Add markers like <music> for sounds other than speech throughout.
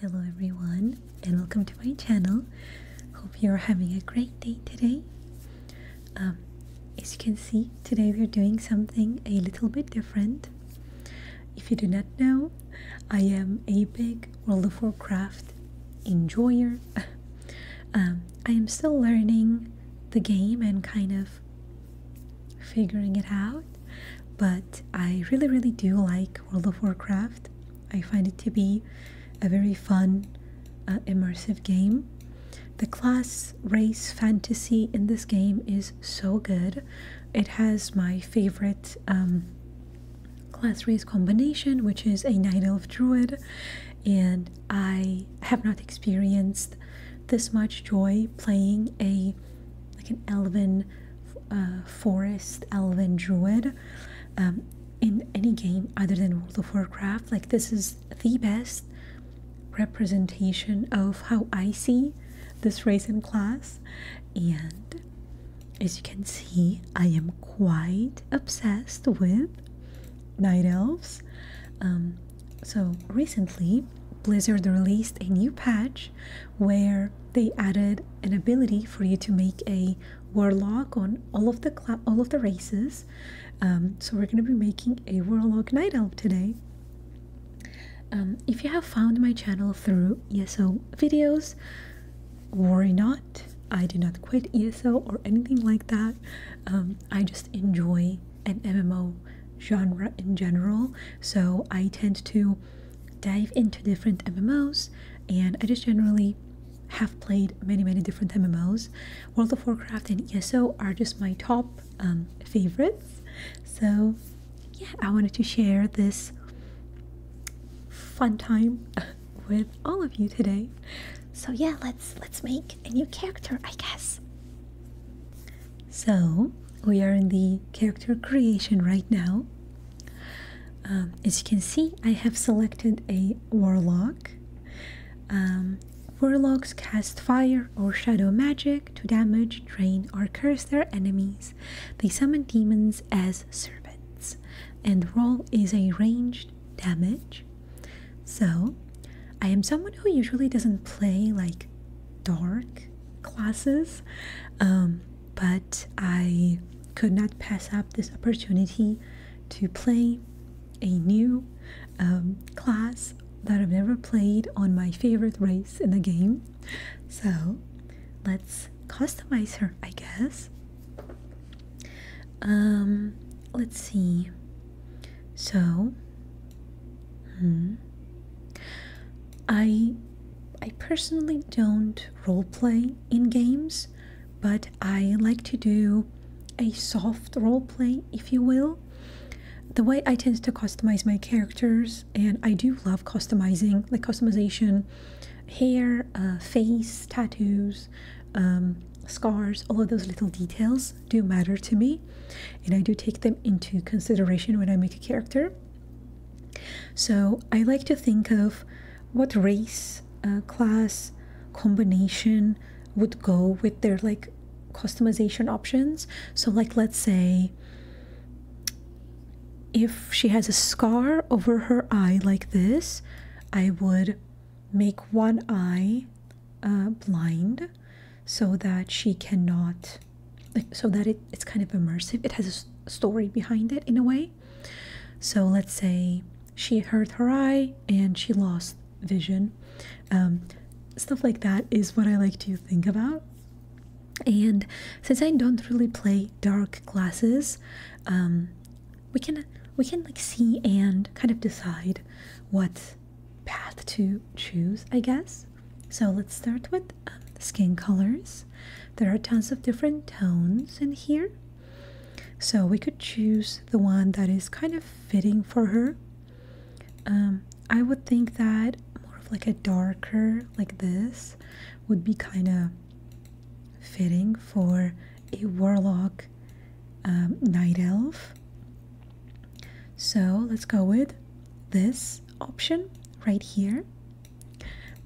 Hello everyone and welcome to my channel. Hope you're having a great day today. Um, as you can see, today we're doing something a little bit different. If you do not know, I am a big World of Warcraft enjoyer. <laughs> Um, I am still learning the game and kind of figuring it out. But I really, really do like World of Warcraft. I find it to be a very fun, uh, immersive game. The class race fantasy in this game is so good. It has my favorite um, class race combination, which is a Night Elf Druid, and I have not experienced this much joy playing a like an elven uh, forest, elven druid um, in any game other than World of Warcraft. Like, this is the best representation of how I see this race and class. And as you can see, I am quite obsessed with night elves. Um, so recently, Blizzard released a new patch where they added an ability for you to make a warlock on all of the all of the races. Um, so we're going to be making a warlock night elf today. Um, if you have found my channel through ESO videos, worry not. I do not quit ESO or anything like that. Um, I just enjoy an MMO genre in general. So I tend to dive into different MMOs, and I just generally have played many, many different MMOs. World of Warcraft and ESO are just my top um, favorites. So, yeah, I wanted to share this fun time <laughs> with all of you today. So yeah, let's let's make a new character, I guess. So we are in the character creation right now. Um, as you can see, I have selected a warlock. Um, warlocks cast fire or shadow magic to damage, drain, or curse their enemies. They summon demons as servants, and role is a ranged damage. So, I am someone who usually doesn't play like dark classes um, but i could not pass up this opportunity to play a new um, class that i've never played on my favorite race in the game so let's customize her i guess um, let's see so Hmm. I I personally don't role play in games, but I like to do a soft role play, if you will. The way I tend to customize my characters, and I do love customizing, the customization, hair, uh, face, tattoos, um, scars, all of those little details do matter to me, and I do take them into consideration when I make a character. So I like to think of what race, uh, class, combination would go with their like customization options. So, like, let's say if she has a scar over her eye like this, I would make one eye uh, blind so that she cannot so that it, it's kind of immersive. It has a story behind it in a way. So let's say she hurt her eye and she lost vision. Um, stuff like that is what I like to think about. And since I don't really play dark glasses, um, we can we can like see and kind of decide what path to choose, I guess. So let's start with um, skin colors. There are tons of different tones in here. So we could choose the one that is kind of fitting for her. Um, I would think that more of like a darker like this would be kind of fitting for a warlock um, night elf. So let's go with this option right here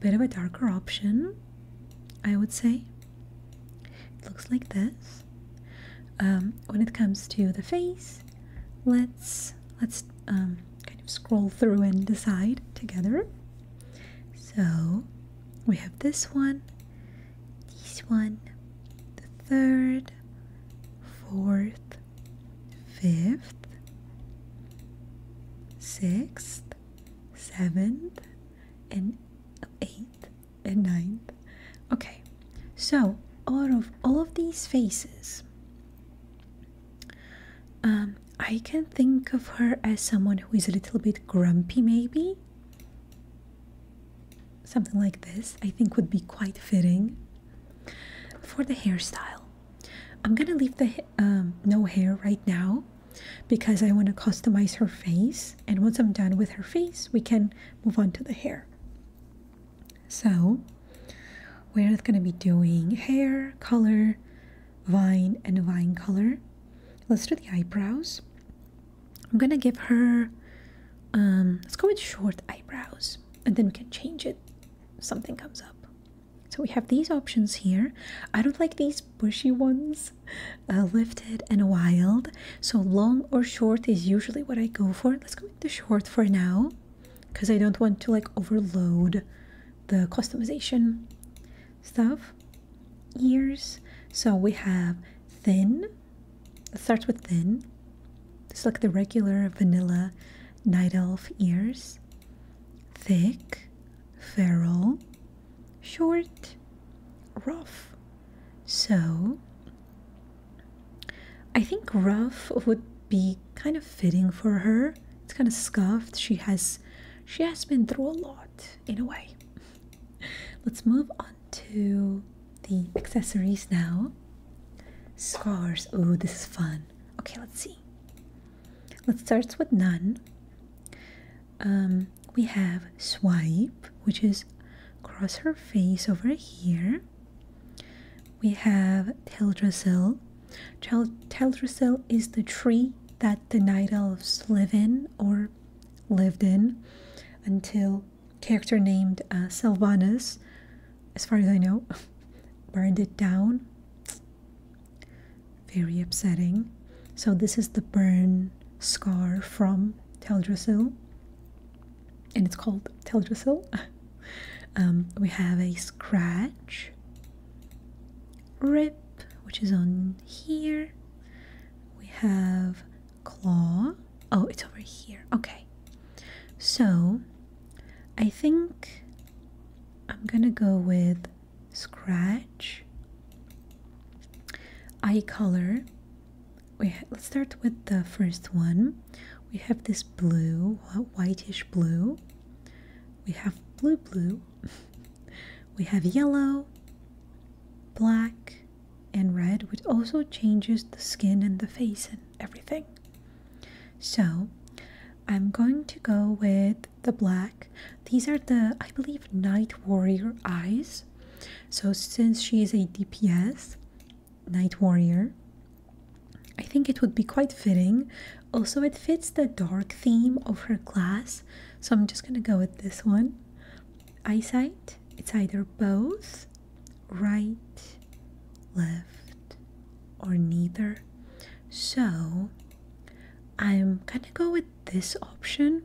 bit of a darker option I would say it looks like this um, when it comes to the face let's let's um, kind of scroll through and decide together so we have this one this one the third fourth fifth, sixth, seventh, and eighth and ninth. Okay, so out of all of these faces, um, I can think of her as someone who is a little bit grumpy, maybe. Something like this, I think, would be quite fitting. For the hairstyle, I'm gonna leave the um, no hair right now because I want to customize her face. And once I'm done with her face, we can move on to the hair. So, we're gonna be doing hair, color, vine, and vine color. Let's do the eyebrows. I'm gonna give her, um, let's go with short eyebrows and then we can change it something comes up. So we have these options here. I don't like these bushy ones, <laughs> uh, lifted and wild. So long or short is usually what I go for. Let's go with the short for now because I don't want to like overload the customization stuff. Ears. So we have thin. Let's with thin. Just like the regular vanilla night elf ears, thick, feral, short, rough. So I think rough would be kind of fitting for her. It's kind of scuffed. She has she has been through a lot in a way. <laughs> Let's move on to the accessories now. Scars. Oh, this is fun. Okay, let's see. Let's start with none. Um, we have swipe, which is cross her face over here. We have Teldrassil. Teldrassil is the tree that the Night Elves live in or lived in until character named uh, as far as I know, <laughs> burned it down. Very upsetting. So this is the burn scar from Teldrassil, and it's called Teldrassil. <laughs> Um, we have a scratch, rip, which is on here. We have claw, Oh, it's over here. Okay. So I think I'm gonna go with scratch, eye color. We let's start with the first one. We have this blue, whitish blue. We have blue, blue. <laughs> we have yellow, black, and red, which also changes the skin and the face and everything. So I'm going to go with the black. These are the, I believe, Night Warrior eyes. So since she is a DPS, Night Warrior, I think it would be quite fitting. Also, it fits the dark theme of her class. So I'm just going to go with this one. Eyesight, it's either both right, left, or neither. So I'm gonna go with this option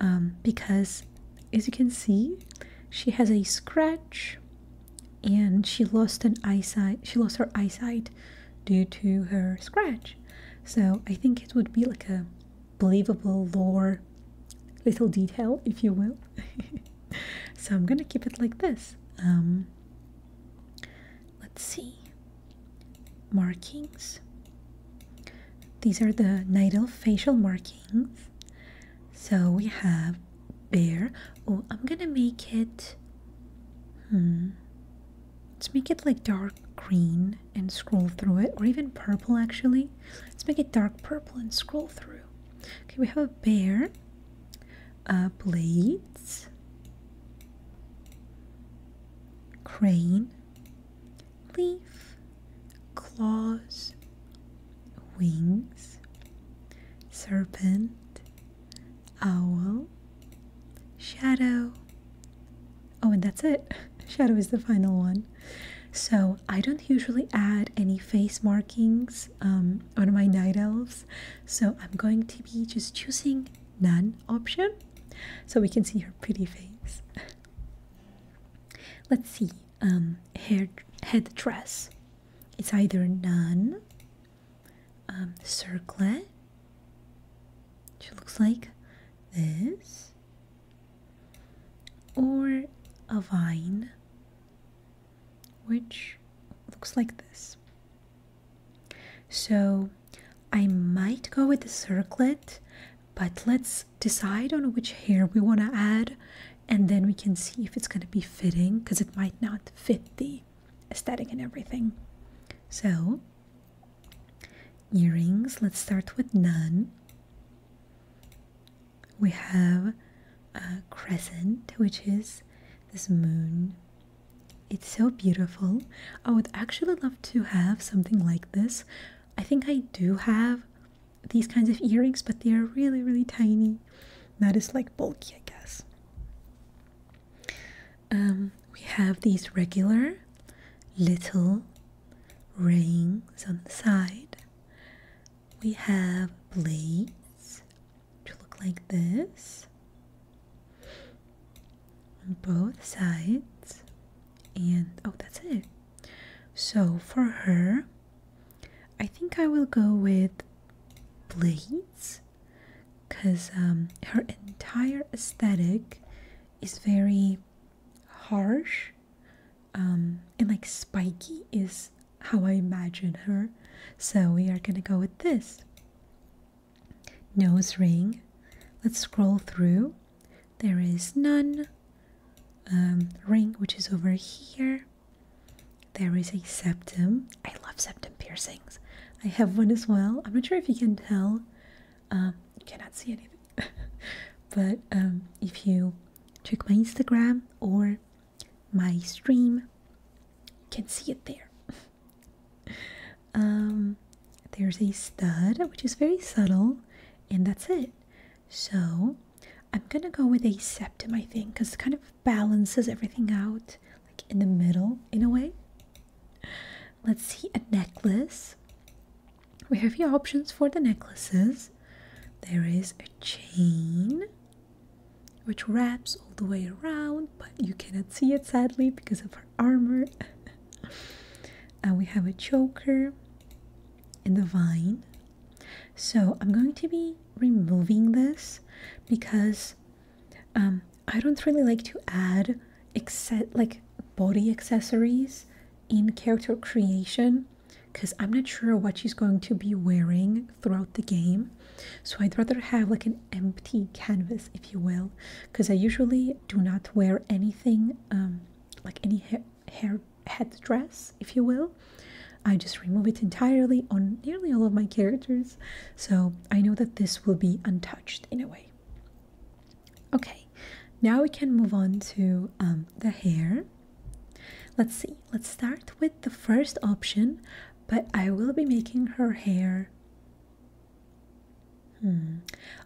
um, because, as you can see, she has a scratch and she lost an eyesight. She lost her eyesight due to her scratch. So I think it would be like a believable lore little detail, if you will. <laughs> so I'm gonna keep it like this. Um, let's see. Markings. These are the natal facial markings. So we have bear. Oh, I'm gonna make it. Hmm. Let's make it like dark green and scroll through it, or even purple actually. Let's make it dark purple and scroll through. Okay, we have a bear, blades, crane, leaf, claws, wings, serpent, owl, shadow. Oh, and that's it. <laughs> Shadow is the final one. So I don't usually add any face markings um, on my night elves. So I'm going to be just choosing none option so we can see her pretty face. <laughs> Let's see, um, hair head dress. It's either none, um, circlet. She looks like this or a vine, which looks like this. So I might go with the circlet, but let's decide on which hair we want to add and then we can see if it's going to be fitting because it might not fit the aesthetic and everything. So, earrings, let's start with none we have a crescent, which is this moon. It's so beautiful. I would actually love to have something like this. I think I do have these kinds of earrings, but they are really, really tiny. That is like bulky, I guess. Um, we have these regular little rings on the side we have blades which look like this on both sides and oh that's it so for her i think i will go with blades because um, her entire aesthetic is very harsh um, and like spiky is how I imagine her. So we are gonna go with this nose ring. Let's scroll through. There is none. Um, ring, which is over here. There is a septum. I love septum piercings. I have one as well. I'm not sure if you can tell. Um, you cannot see anything. <laughs> but if you check my Instagram or my stream. You can see it there. <laughs> um, there's a stud, which is very subtle, and that's it. So I'm gonna go with a septum, I think, because it kind of balances everything out, like in the middle, in a way. Let's see a necklace we have your options for the necklaces. There is a chain which wraps all the way around, but you cannot see it sadly because of her armor. and <laughs> uh, we have a choker and the vine. So I'm going to be removing this because um, I don't really like to add except like body accessories in character creation because I'm not sure what she's going to be wearing throughout the game. So I'd rather have like an empty canvas, if you will, because I usually do not wear anything um, like any hair head dress, if you will. I just remove it entirely on nearly all of my characters. So I know that this will be untouched in a way. Okay, now we can move on to um, the hair. Let's see, let's start with the first option, but I will be making her hair. Hmm.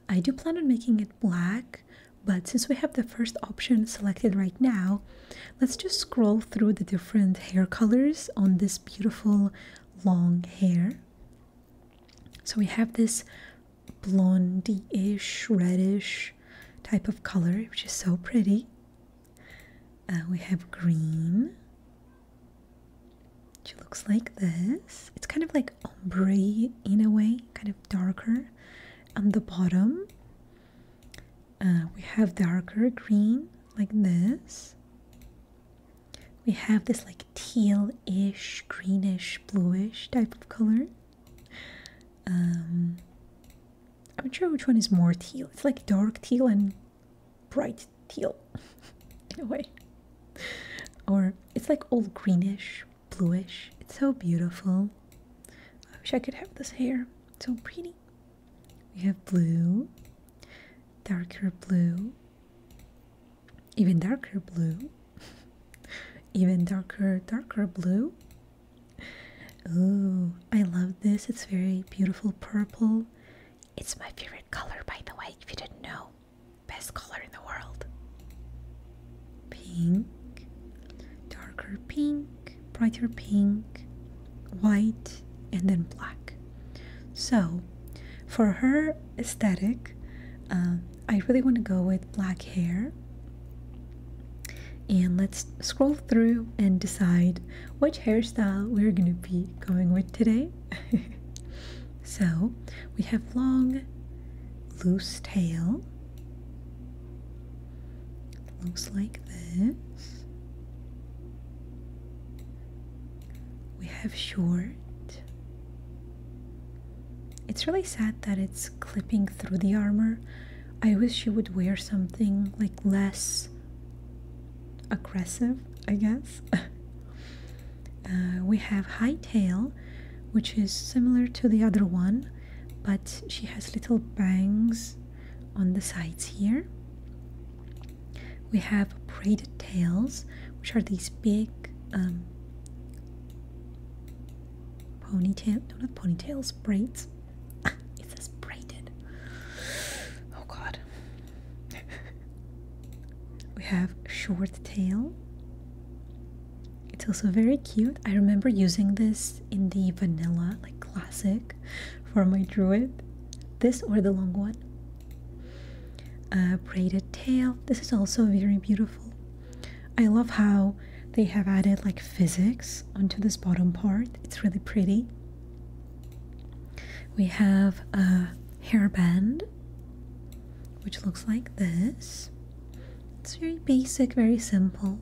I do plan on making it black, but since we have the first option selected right now, let's just scroll through the different hair colors on this beautiful long hair. So we have this blondie-ish, reddish type of color, which is so pretty. Uh, we have green, which looks like this. It's kind of like ombre in a way, kind of darker on the bottom. Uh, we have darker green like this. We have this like teal-ish, greenish, bluish type of color. Um, I'm not sure which one is more teal. It's like dark teal and bright teal, anyway. <laughs> Or it's like all greenish, bluish. It's so beautiful. I wish I could have this hair. so pretty. We have blue, darker blue, even darker blue. <laughs> even darker darker blue Ooh, I love this. It's very beautiful purple. It's my favorite color, by the way, if you didn't know. Best color in the world. Pink, darker pink, brighter pink, white, and then black. So, for her aesthetic, um, I really want to go with black hair. And let's scroll through and decide which hairstyle we're going to be going with today. <laughs> so we have long, loose tail. Looks like this. We have short. It's really sad that it's clipping through the armor. I wish she would wear something like less aggressive, I guess. <laughs> Uh, we have high tail, which is similar to the other one, but she has little bangs on the sides here. We have braided tails, which are these big um, ponytail do not ponytails braids <laughs> it says braided oh god <laughs> we have short tail it's also very cute i remember using this in the vanilla like classic for my druid this or the long one uh, braided tail this is also very beautiful I love how they have added like physics onto this bottom part. It's really pretty. We have a hairband which looks like this. It's very basic, very simple.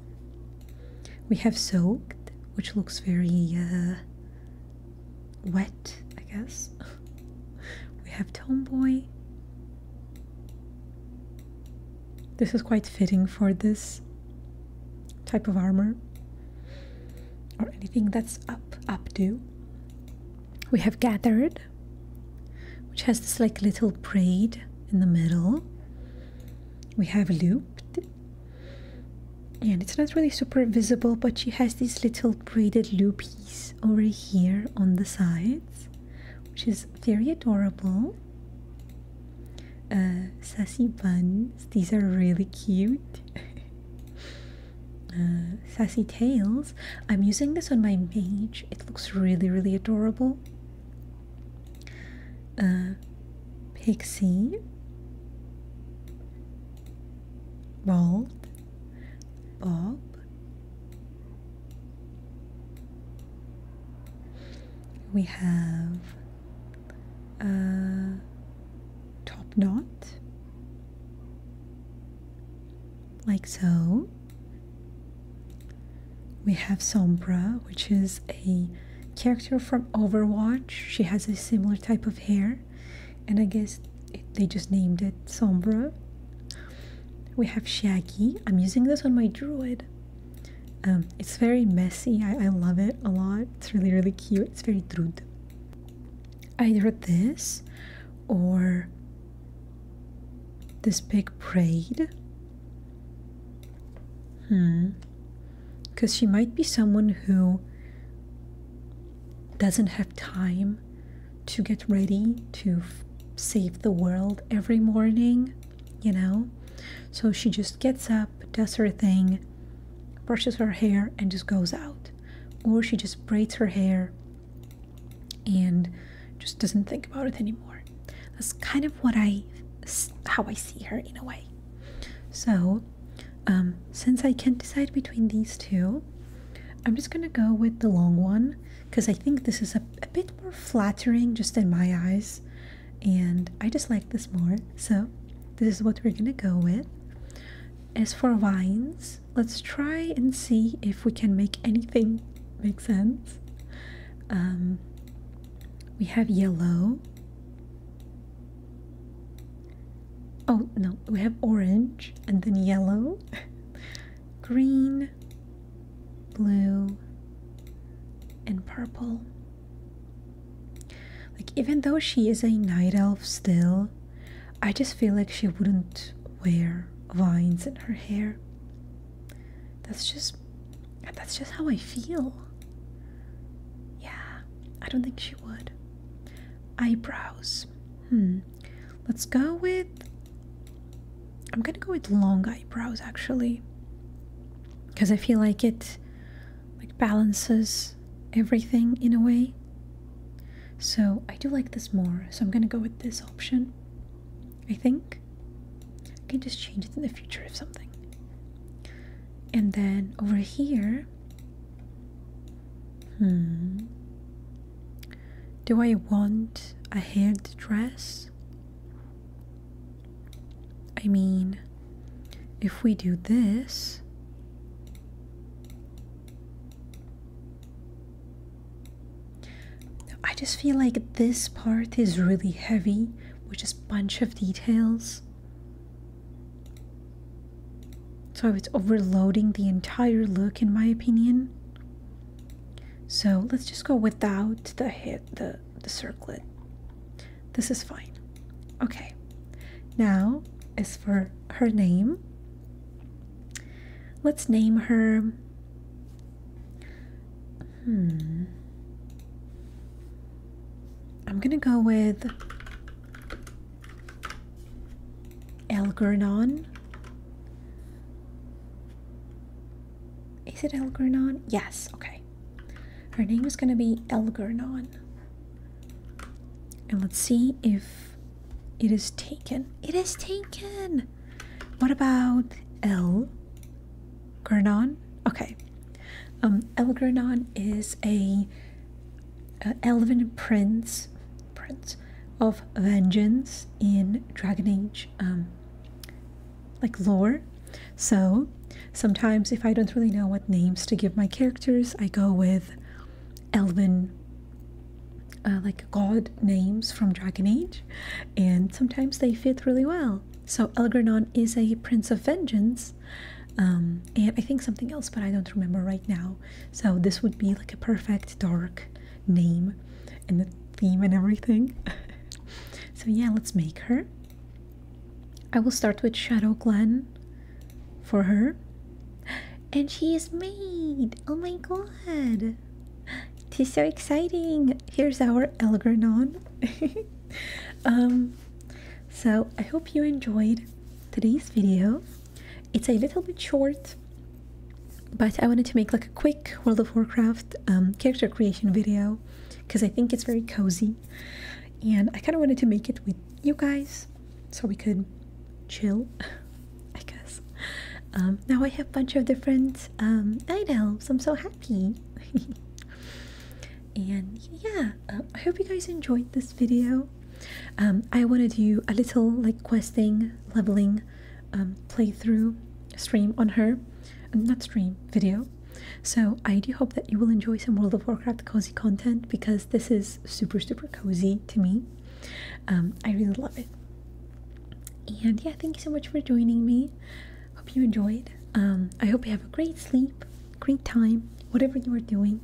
We have soaked, which looks very uh, wet, I guess. <laughs> we have tomboy, this is quite fitting for this type of armor or anything that's up updo. We have gathered, which has this like little braid in the middle. We have looped, and it's not really super visible, but she has these little braided loopies over here on the sides which is very adorable. Uh, sassy buns, these are really cute. <laughs> Uh, sassy tails, I'm using this on my mage, it looks really, really adorable. Uh, pixie, bald, bob, we have a top knot, like so. We have Sombra, which is a character from Overwatch. She has a similar type of hair, and I guess they just named it Sombra. We have Shaggy. I'm using this on my druid. Um, it's very messy. I, I love it a lot. It's really, really cute. It's very druid. Either this or this big braid. Hmm. Because she might be someone who doesn't have time to get ready to save the world every morning, you know. So she just gets up, does her thing, brushes her hair, and just goes out. Or she just braids her hair and just doesn't think about it anymore. That's kind of what I, how I see her in a way. So, um, since I can't decide between these two, I'm just gonna go with the long one because I think this is a, a bit more flattering just in my eyes, and I just like this more. So, this is what we're gonna go with. As for vines, let's try and see if we can make anything make sense. Um, we have yellow. Oh no, we have orange and then yellow. <laughs> green, blue, and purple. Like, even though she is a night elf still, I just feel like she wouldn't wear vines in her hair. That's just that's just how I feel. Yeah, I don't think she would. Eyebrows. Hmm let's go with I'm gonna go with long eyebrows actually because I feel like it like balances everything in a way so I do like this more so I'm gonna go with this option I think I can just change it in the future if something and then over here hmm do I want a head dress? I mean, if we do this, I just feel like this part is really heavy with just a bunch of details. So it's overloading the entire look, in my opinion. So let's just go without the hit the, the circlet. This is fine. Okay. Now is for her name. Let's name her. Hmm. I'm gonna go with Elgernon. Is it Elgernon? Yes, okay. Her name is going to be Elgernon. And let's see if it is taken. It is taken! What about El Gernon? Okay. Um, Elgernon is a uh, elven prince, prince of vengeance in Dragon Age, um, like lore. So sometimes, if I don't really know what names to give my characters, I go with elven. Uh, like god names from Dragon Age, and sometimes they fit really well. So Elgranon is a prince of vengeance, um, and I think something else, but I don't remember right now. So this would be like a perfect dark name and the theme and everything. <laughs> so yeah, let's make her. I will start with Shadow Glen for her. <gasps> And she is made! Oh my god! This <gasps> is so exciting! Here's our Elgranon. <laughs> um, so I hope you enjoyed today's video. It's a little bit short, but I wanted to make like a quick World of Warcraft um, character creation video because I think it's very cozy and I kind of wanted to make it with you guys so we could chill, <laughs> I guess. Um, now I have a bunch of different um, night elves. I'm so happy. <laughs> and yeah, uh, I hope you guys enjoyed this video. Um, I want to do a little like questing, leveling, um, playthrough stream on her, um, not stream, video. So I do hope that you will enjoy some World of Warcraft cozy content because this is super, super cozy to me. I really love it. And yeah, thank you so much for joining me. Hope you enjoyed. I hope you have a great sleep, great time, whatever you are doing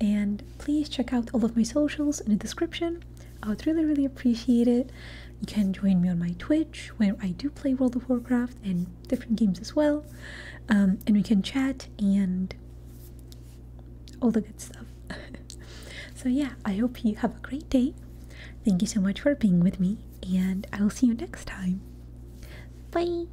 and please check out all of my socials in the description. I would really, really appreciate it. You can join me on my Twitch where I do play World of Warcraft and different games as well. Um, and we can chat and all the good stuff. <laughs> so, yeah, I hope you have a great day. Thank you so much for being with me, and I will see you next time. Bye!